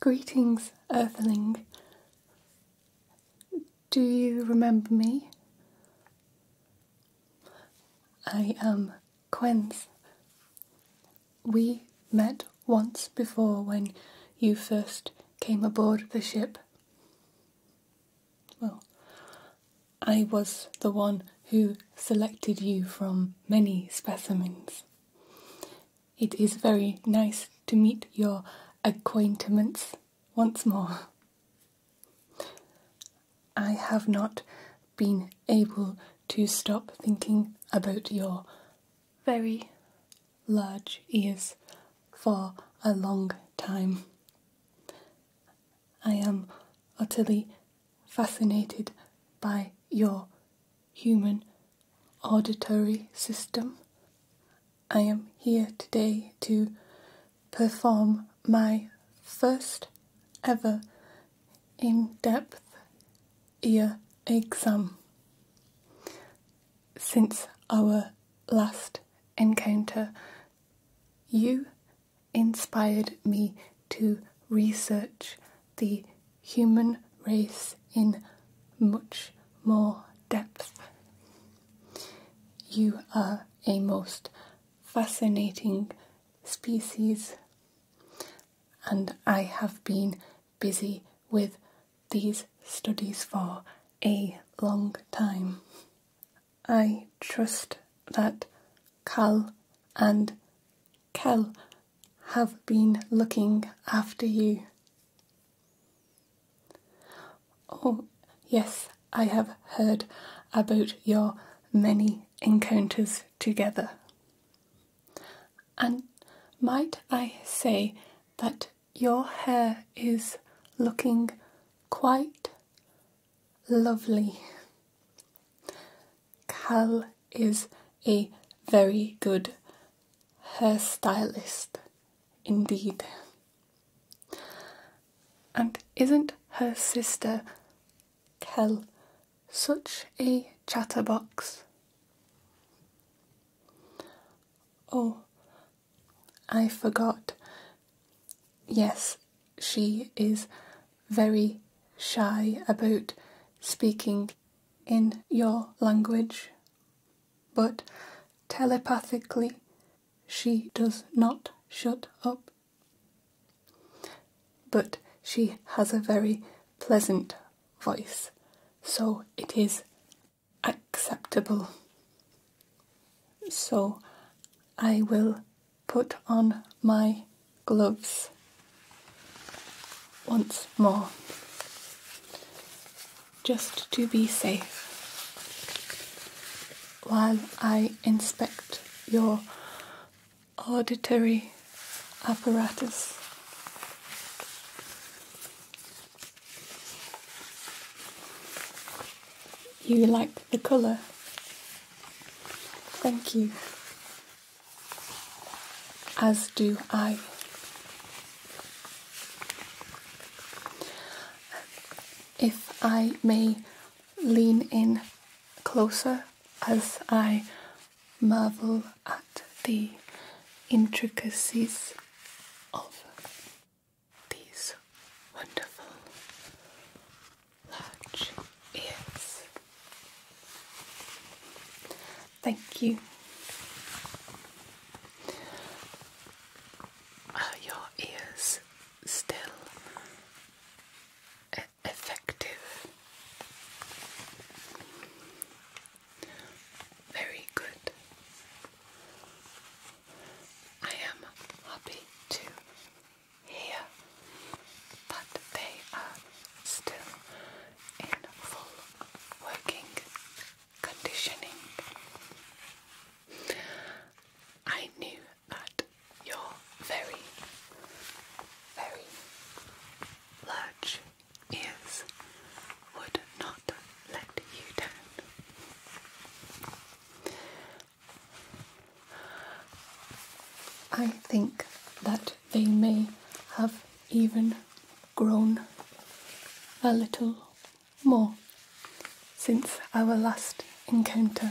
Greetings, Earthling. Do you remember me? I am Quenz. We met once before when you first came aboard the ship. Well, I was the one who selected you from many specimens. It is very nice to meet your acquaintances once more. I have not been able to stop thinking about your very large ears for a long time. I am utterly fascinated by your human auditory system. I am here today to perform my first ever in depth ear exam since our last encounter. You inspired me to research the human race in much more depth. You are a most fascinating species, and I have been busy with these studies for a long time. I trust that Cal and Kel have been looking after you. Oh, yes, I have heard about your many encounters together. And might I say that your hair is looking quite lovely. Cal is a very good hair stylist, indeed. And isn't her sister Kel such a chatterbox? Oh, I forgot. Yes, she is very shy about speaking in your language, but telepathically she does not shut up. But she has a very pleasant voice, so it is acceptable. So I will put on my gloves once more, just to be safe, while I inspect your auditory apparatus. You like the colour? Thank you as do I. If I may lean in closer as I marvel at the intricacies of these wonderful large ears. Thank you. your ears still effective? Very good. I am happy to hear that they are still in full working conditioning. I knew that your very, very large ears would not let you down. I think that they may have even grown a little more since our last encounter.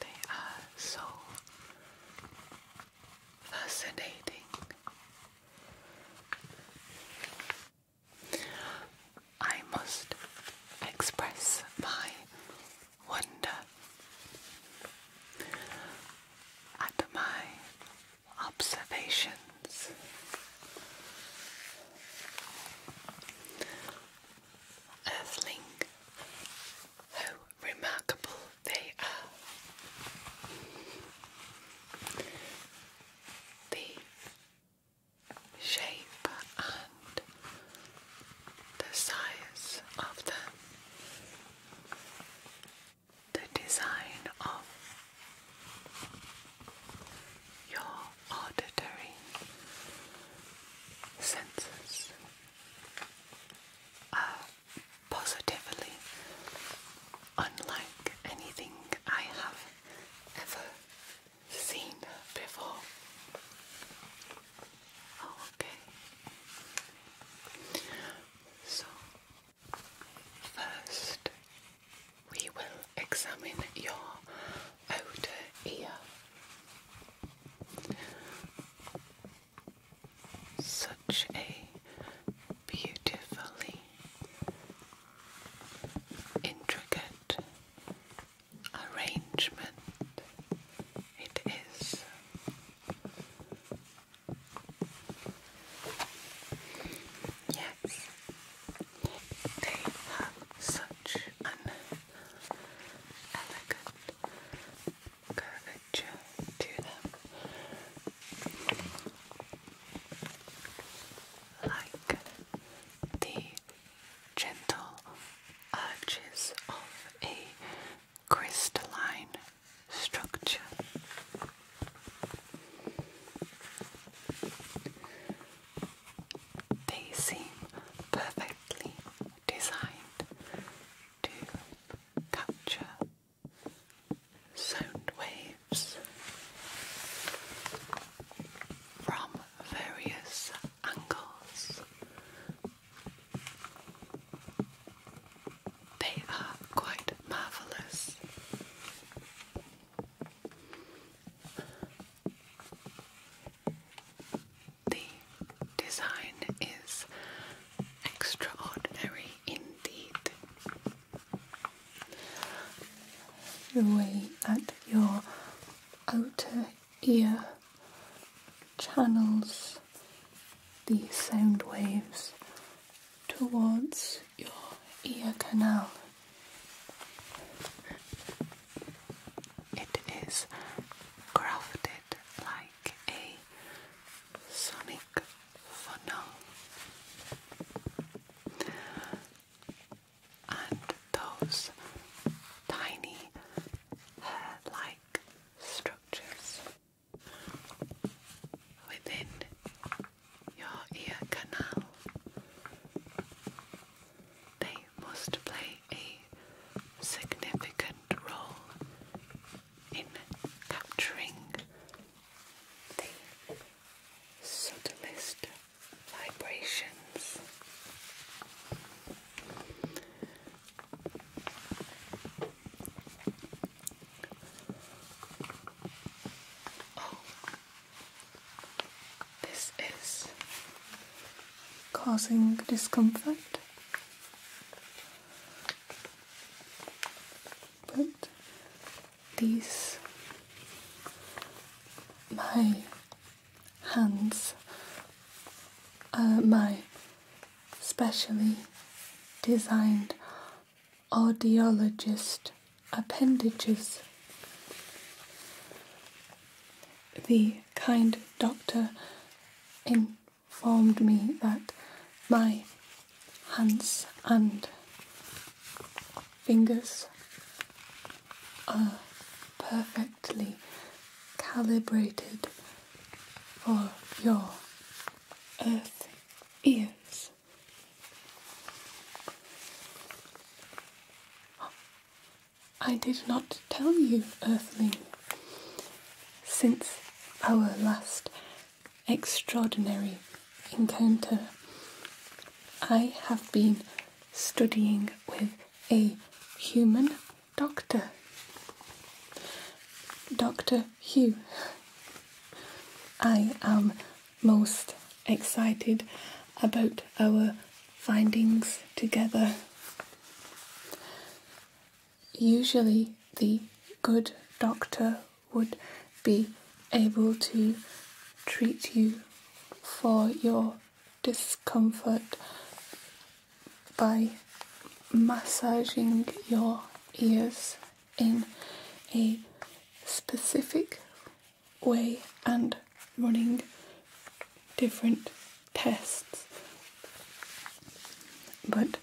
They are so fascinating I must express my wonder at my observations. Earthling, how remarkable they are the shape and the size of them, the design of your auditory senses are uh, positively, unlike anything I have ever seen before. Oh, okay. So, first we will examine your outer ear. Such a beautifully intricate arrangement it is. Yes, they have such an elegant curvature to them like the gentle arches of a crystalline structure. They seem perfectly designed to capture sound waves from various angles. They are quite marvelous. The design is extraordinary indeed the way that your outer ear channels the sound waves towards your ear canal. It is crafted like a sonic funnel and those tiny hair like structures within your ear canal. They must play a significant role in capturing the subtlest vibrations. Oh, this is causing discomfort. But these my hands are my specially designed audiologist appendages. The kind doctor informed me that my hands and fingers are perfectly calibrated for your earth ears. I did not tell you, earthly, since our last extraordinary encounter. I have been studying with a human doctor, Dr. Hugh. I am most excited about our findings together. Usually, the good doctor would be able to treat you for your discomfort by massaging your ears in a specific way and running different tests. But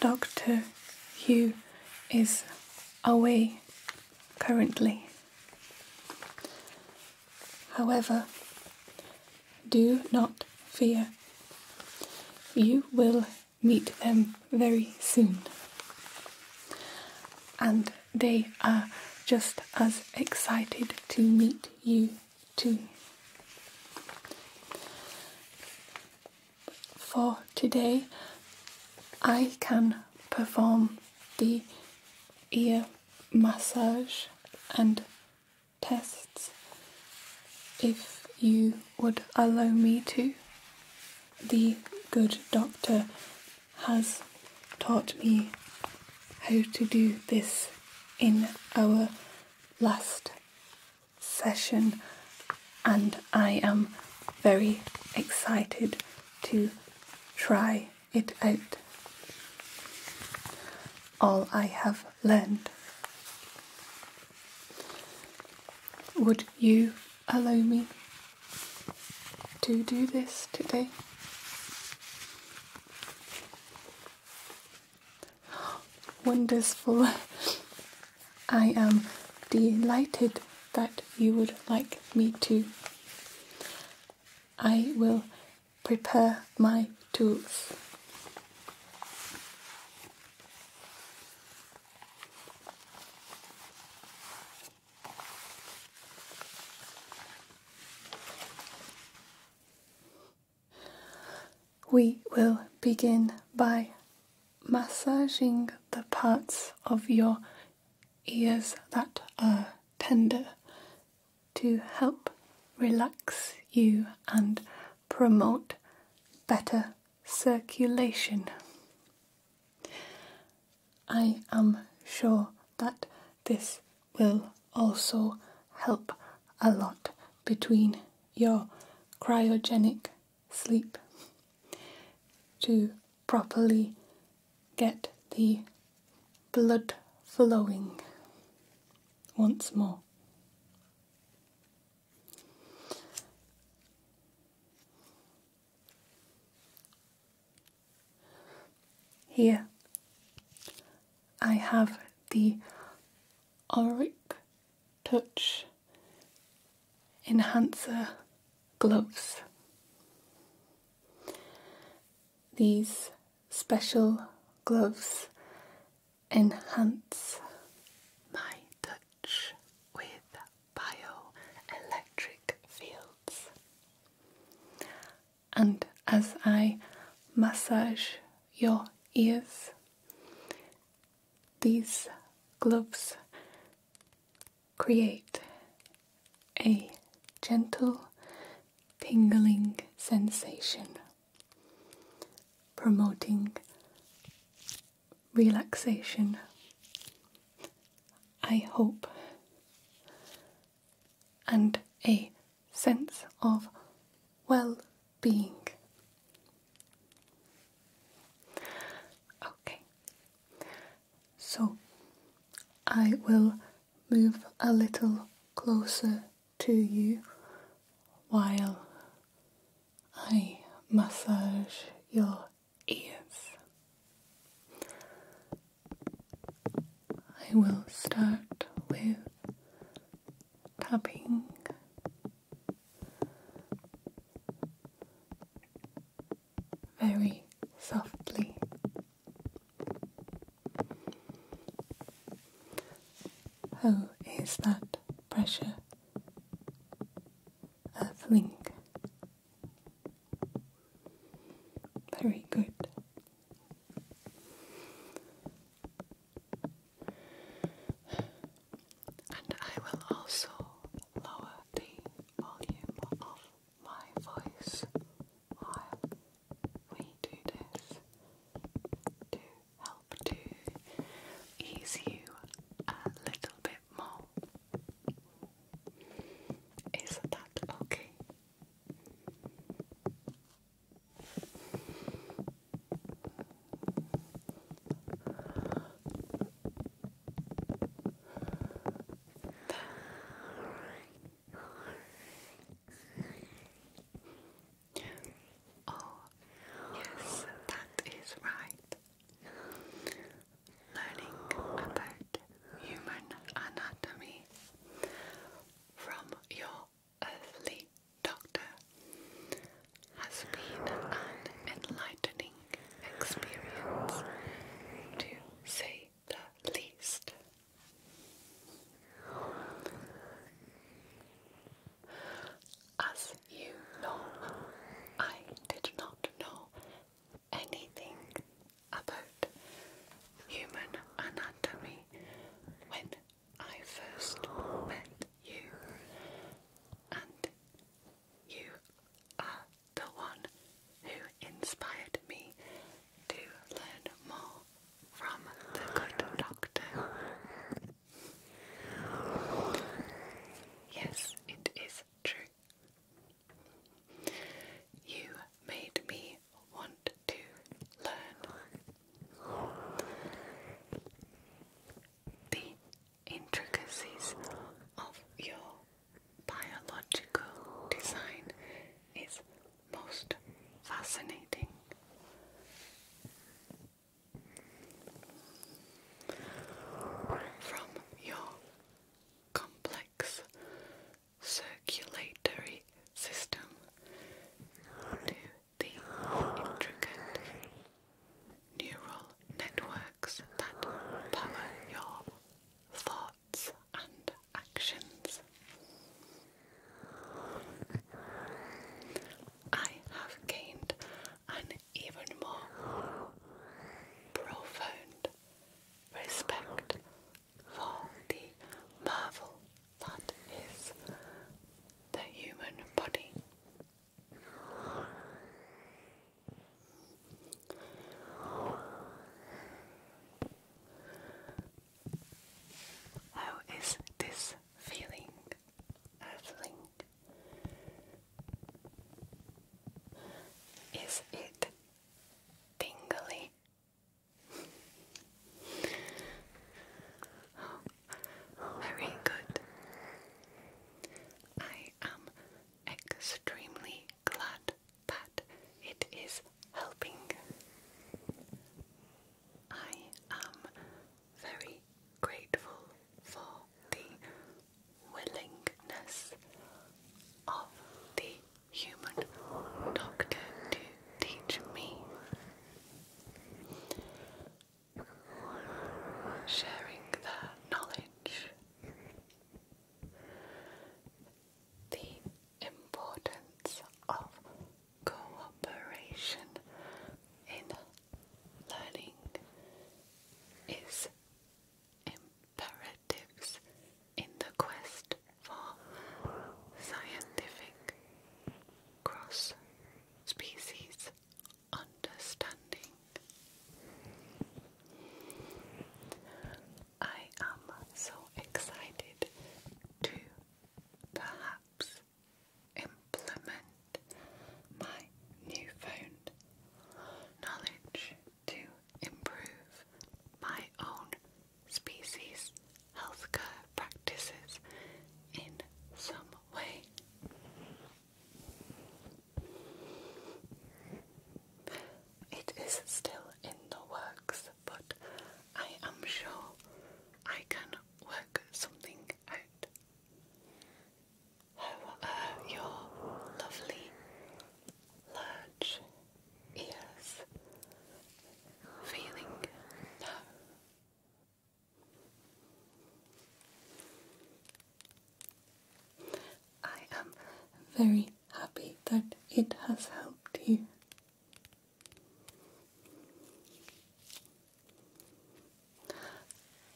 Dr. Hugh is away currently. However, do not fear. You will meet them very soon. And they are just as excited to meet you too. For today, I can perform the ear massage and tests if you would allow me to. The good doctor has taught me how to do this in our last session, and I am very excited to try it out. All I have learned. Would you allow me to do this today? Wonderful. I am delighted that you would like me to. I will prepare my tools. We will begin by massaging the parts of your ears that are tender to help relax you and promote better circulation. I am sure that this will also help a lot between your cryogenic sleep to properly get the blood flowing once more. Here I have the auric touch enhancer gloves. These special gloves enhance my touch with bioelectric fields. And as I massage your ears, these gloves create a gentle tingling sensation, promoting relaxation. I hope, and a sense of well being. Okay, so I will move a little closer to you while I massage your ears. I will start with tapping very softly. How is that pressure? Earthling. Very good. And I will also lower the volume of my voice while we do this to help to ease you a little bit more. Is that okay? Oh, yes, that is right. Learning about human anatomy from your earthly doctor has been an enlightening experience, to say at least. As you know, I did not know anything about human anatomy when I first met you, and you are the one who inspired me to learn more from the good doctor. Yes, it is true. You made me want to learn the intricacies of your biological design is most fascinating. From your complex circulatory system to the intricate neural networks that power your thought and actions. I have gained an even more profound respect for the marvel that is the human body. How is this feeling, Earthling? Is it tingly? oh, very good. I am extremely glad that it is helping. I am very grateful for the willingness of the human doctor to teach me. Sharing their knowledge the importance of cooperation in learning is imperatives in the quest for scientific cross species understanding. I am so excited to perhaps implement my newfound knowledge to improve my own species healthcare practices in some way. It is still in the works, but I am sure I can work something out. How are your lovely large ears feeling I am very happy that it has helped you.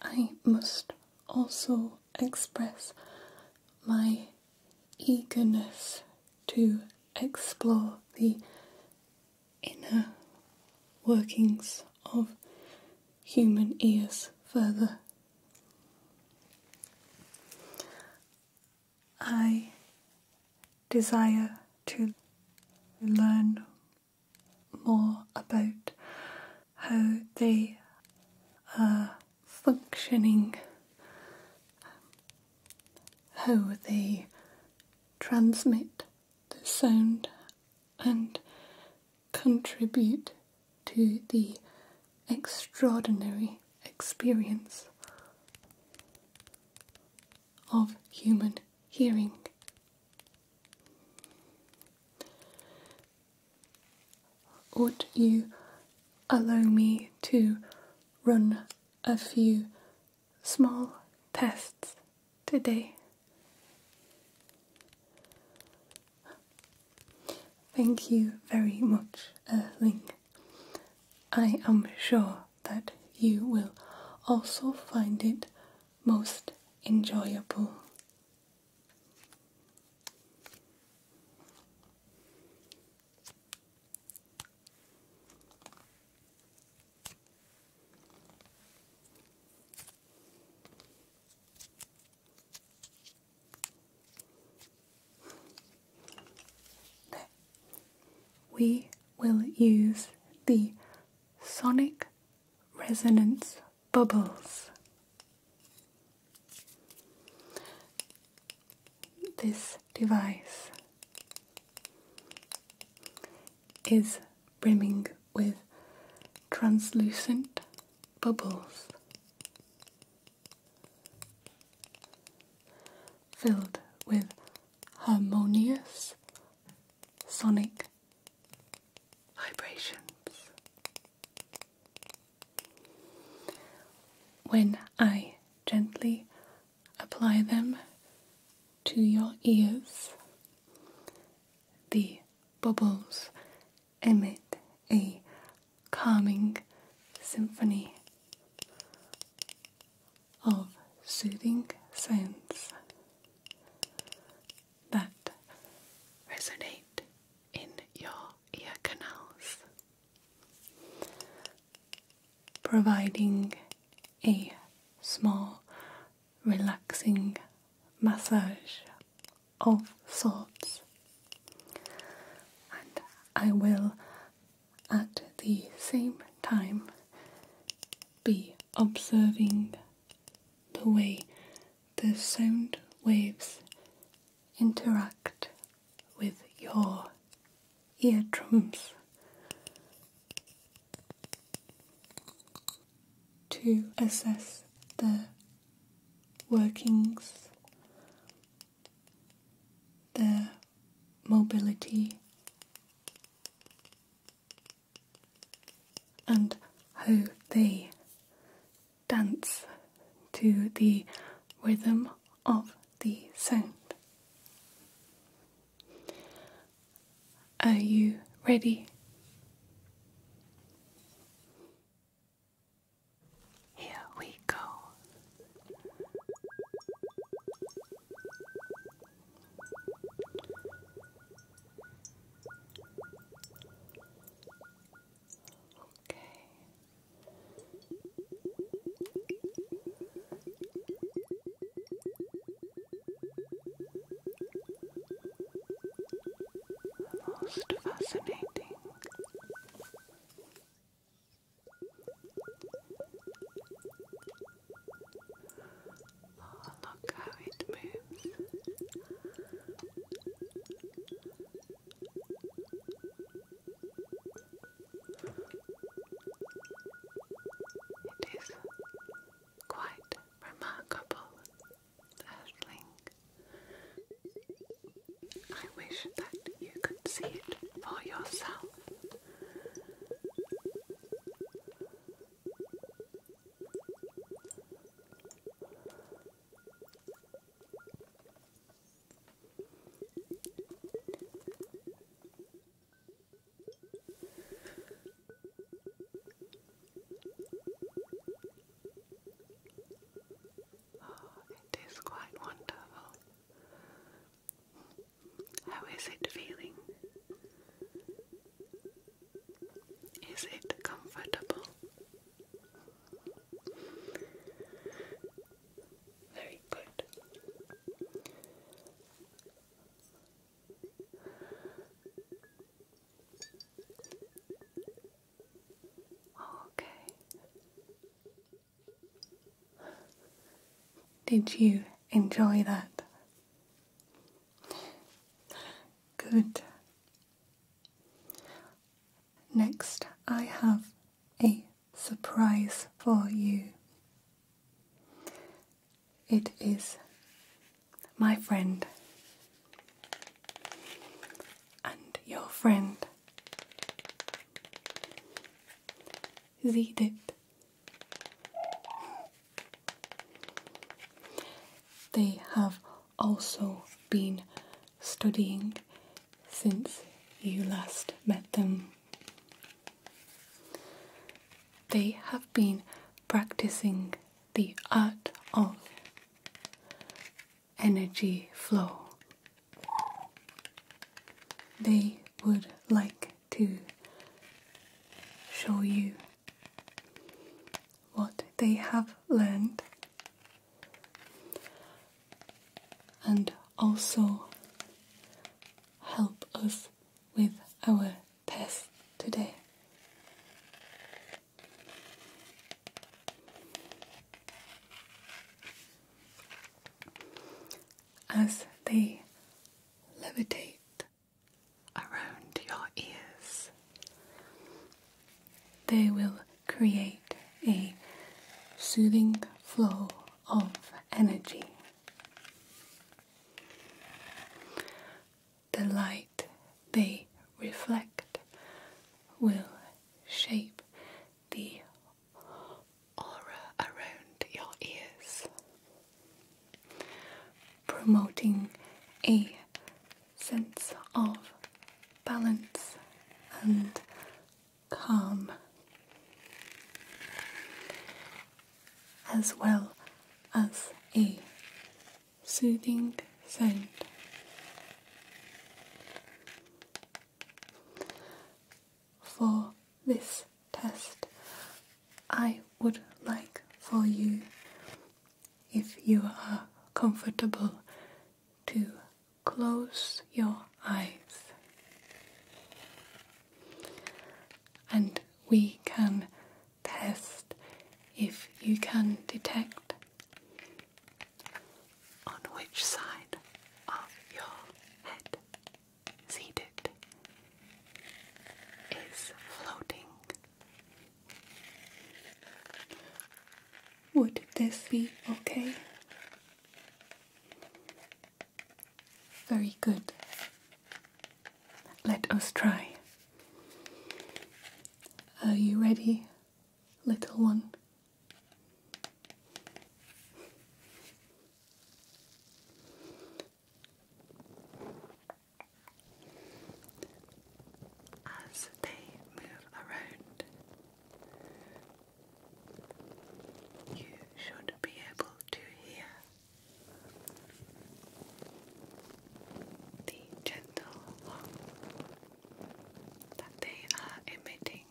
I must also express my eagerness to explore the inner workings of human ears further. I desire to learn more about how they are functioning, how they transmit the sound and contribute to the extraordinary experience of human hearing. Would you allow me to run a few small tests today? Thank you very much, Erling. I am sure that you will also find it most enjoyable. We will use the sonic resonance bubbles. This device is brimming with translucent bubbles filled with harmonious sonic vibrations. When I gently apply them to your ears, the bubbles emit a calming symphony of soothing sounds that resonate in your ear canals, providing a small, relaxing massage of sorts. And I will at the same time be observing the way the sound waves interact with your ear drums To assess the workings their mobility and how they dance to the rhythm of the sound. Are you ready? Here we go. Okay. fascinating. Oh, look how it moves. It is quite remarkable, Earthling. I wish that you could see it for yourself. Oh, it is quite wonderful. How is it feeling? Is it comfortable? Very good. Okay. Did you enjoy that? Good. Next, I have a surprise for you. It is my friend and your friend the They have also been studying since you last met them. They have been practicing the art of energy flow they would like to show you what they have learned and also help us with our test today as they levitate around your ears. They will create a soothing flow of energy. The light they reflect will shape the aura around your ears, promoting a sense of balance and calm, as well as a soothing scent for this test. I would like for you, if you are comfortable, to close your eyes. And we can test if you can detect on which side of your head seated is floating. Would this be okay? Very good. Let us try. Are you ready, little one? as they move around. You should be able to hear the gentle hum that they are emitting.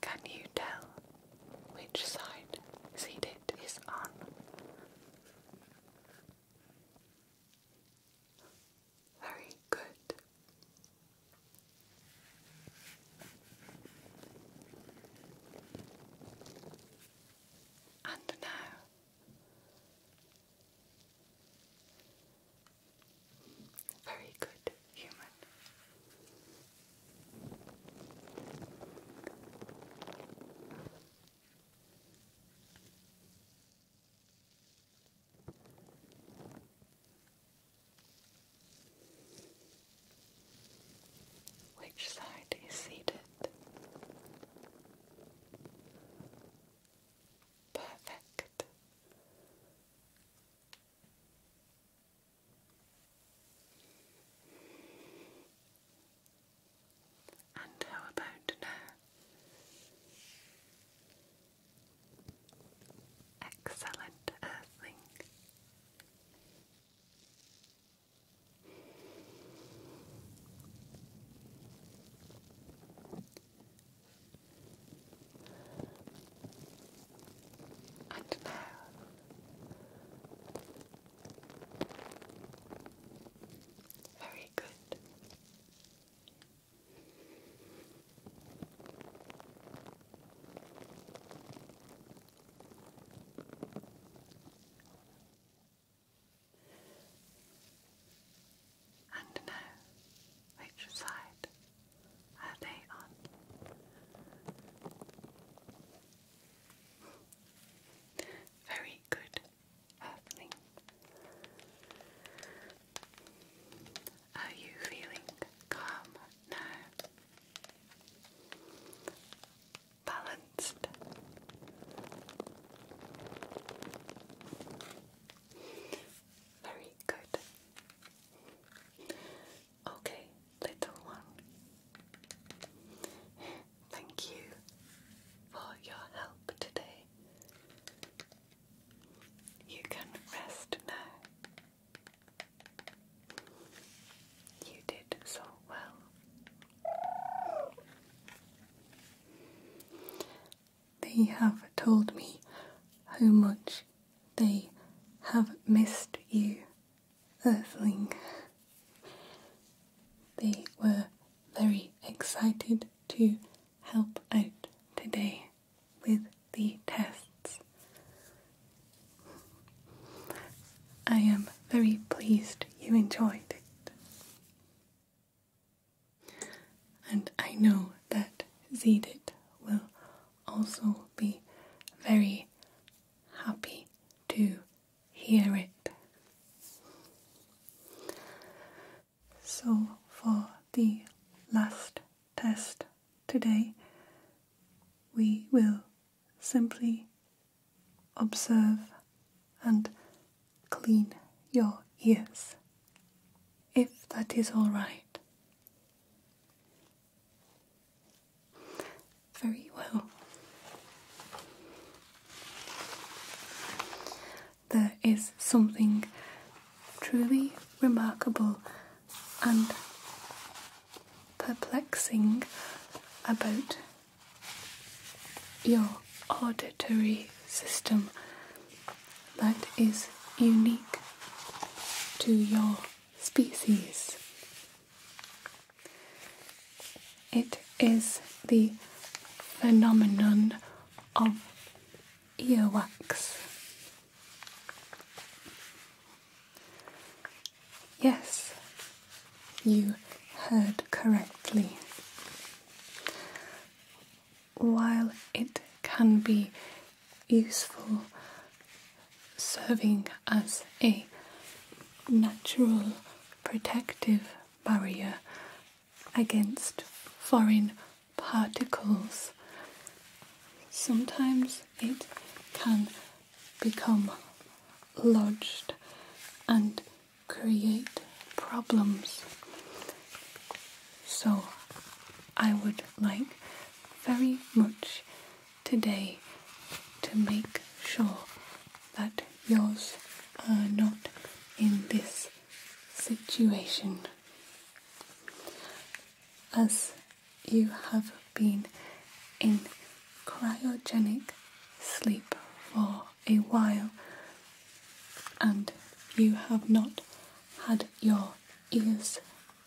Can you tell which side seated is on? Very good and now. Very good human. Which side is seated? Perfect. And how about now? Excellent earthling. And now very good. And now, which side are they on? Very good earthling. Are you feeling calm now? balanced. Very good. Okay, little one. Thank you for your help today. You can rest now. You did so well. They have told me how much they have missed you, Earthling. They were very excited to help out today with the tests. I am very pleased you enjoyed it. And I know that Zedit will also be very happy to hear it. So, for the last test today, we will Simply observe and clean your ears, if that is all right. Very well. There is something truly remarkable and perplexing about your auditory system that is unique to your species. It is the phenomenon of earwax. Yes, you heard correctly. While it can be useful serving as a natural protective barrier against foreign particles, sometimes it can become lodged and create problems. So, I would like very much today to make sure that yours are not in this situation. As you have been in cryogenic sleep for a while and you have not had your ears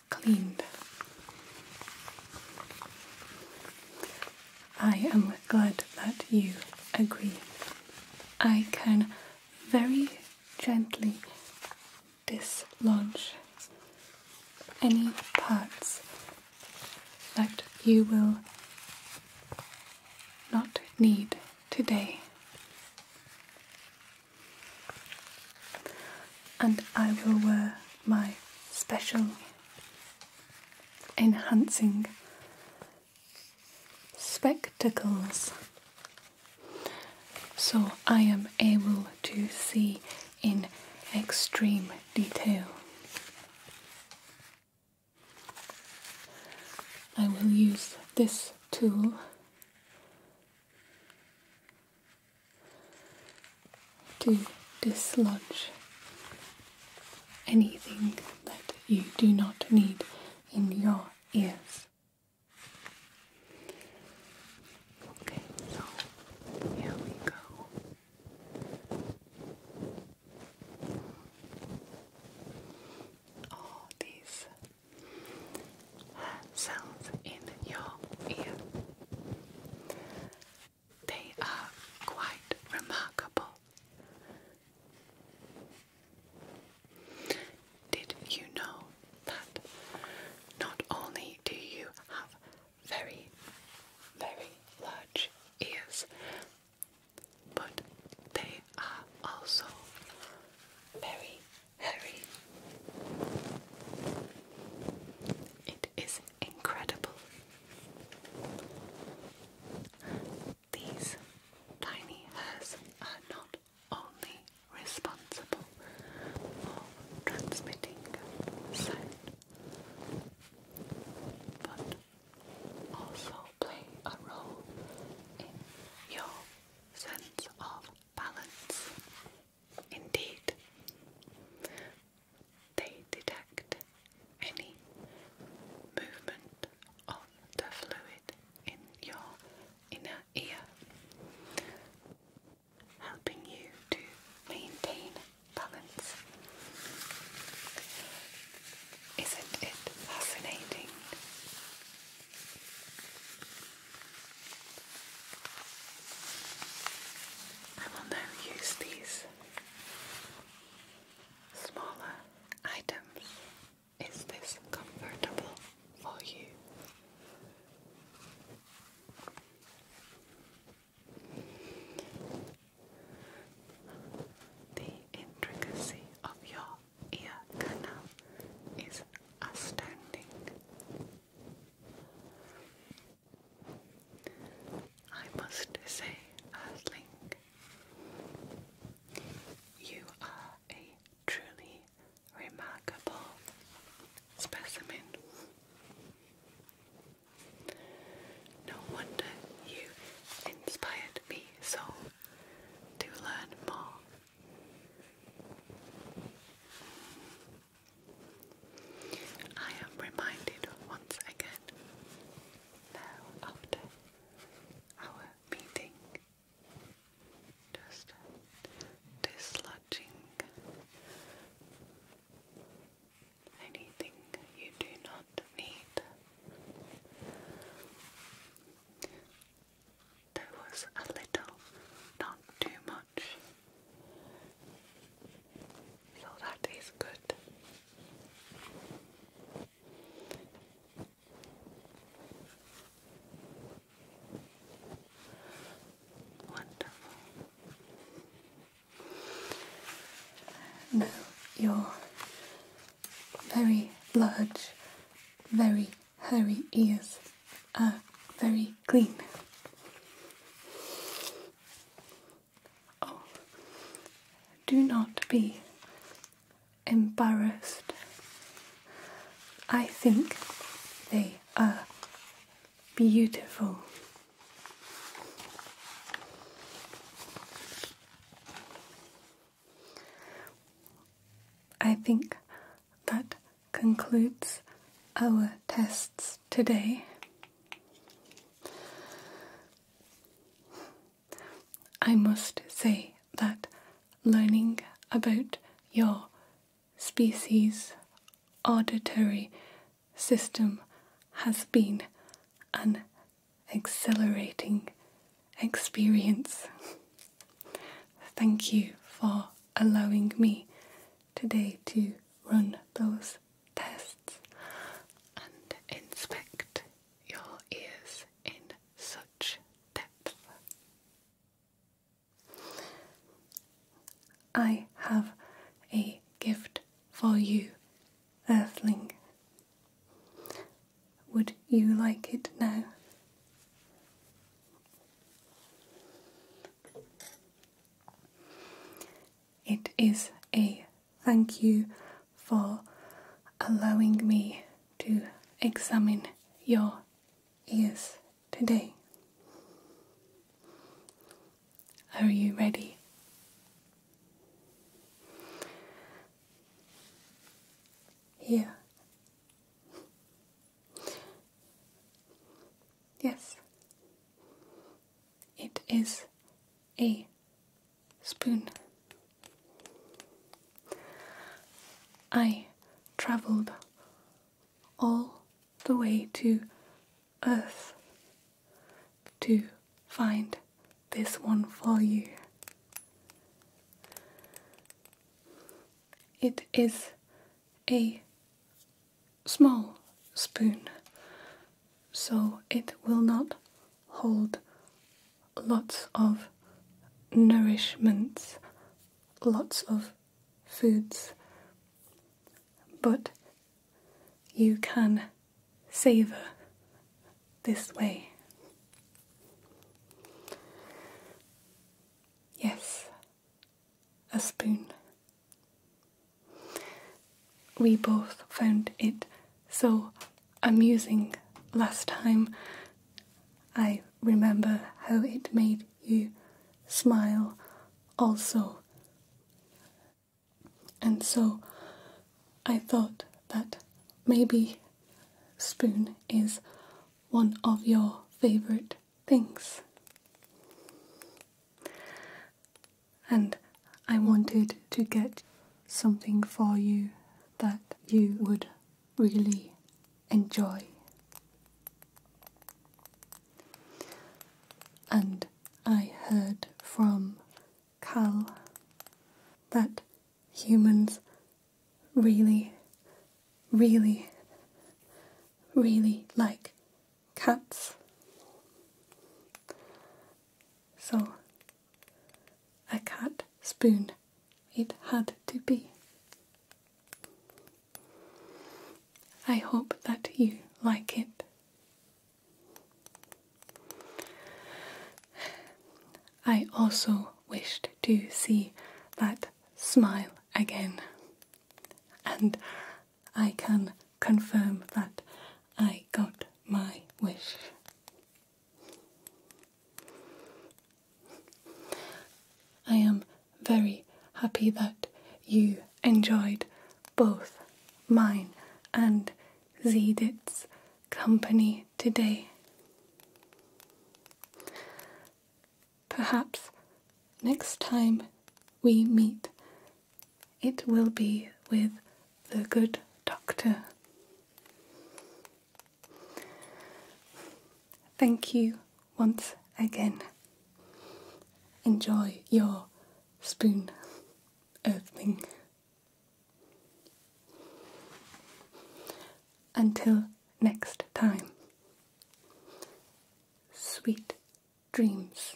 cleaned. I am glad that you agree. I can very gently dislodge any parts that you will not need today. And I will wear my special enhancing spectacles so I am able to see in extreme detail. I will use this tool to dislodge anything that you do not need in your ears. Okay, so here we go all these sounds in your ear. They are quite remarkable. Did you know that not only do you have very, very large ears, but they are also very hairy. It is incredible. These tiny hairs are not only responsible for transmitting sound, but also play a role in your sense of balance. Indeed, they detect any movement of the fluid in your inner ear, helping you to maintain balance isn't it fascinating? I will now use these smaller items. Is this comfortable for you? The intricacy of your ear canal is astounding. I must say, Earthling, you are a truly remarkable specimen. No wonder you inspired me so to learn more. I am reminded once again now after our meeting just dislodging anything you do not need there was a little, not too much. So that is good. Wonderful. Now your very large, very hairy ears are very clean. Oh, do not be embarrassed. I think they are beautiful. I think that concludes our tests today. I must say that learning about your species auditory system has been an exhilarating experience. Thank you for allowing me today to run those tests and inspect your ears in such depth. I have a gift for you Earthling. Would you like it now? It is a thank you for allowing me to examine your ears today. Are you ready? Here. Yes. It is a spoon. I travelled all the way to Earth to find this one for you. It is a small spoon, so it will not hold lots of nourishments, lots of foods, but you can savour this way. Yes, a spoon. We both found it so amusing last time. I remember how it made you smile also. And so I thought that maybe spoon is one of your favorite things. And I wanted to get something for you that you would really enjoy. And I heard from Cal that humans really, really, really like cats. So, a cat spoon it had to be. I hope that you like it. I also wished to see that smile again, and I can confirm that I got my wish. I am very happy that you enjoyed both mine and Zedit's company today. Perhaps next time we meet, it will be with the good doctor. Thank you once again. Enjoy your spoon earthling. Until next time, sweet dreams.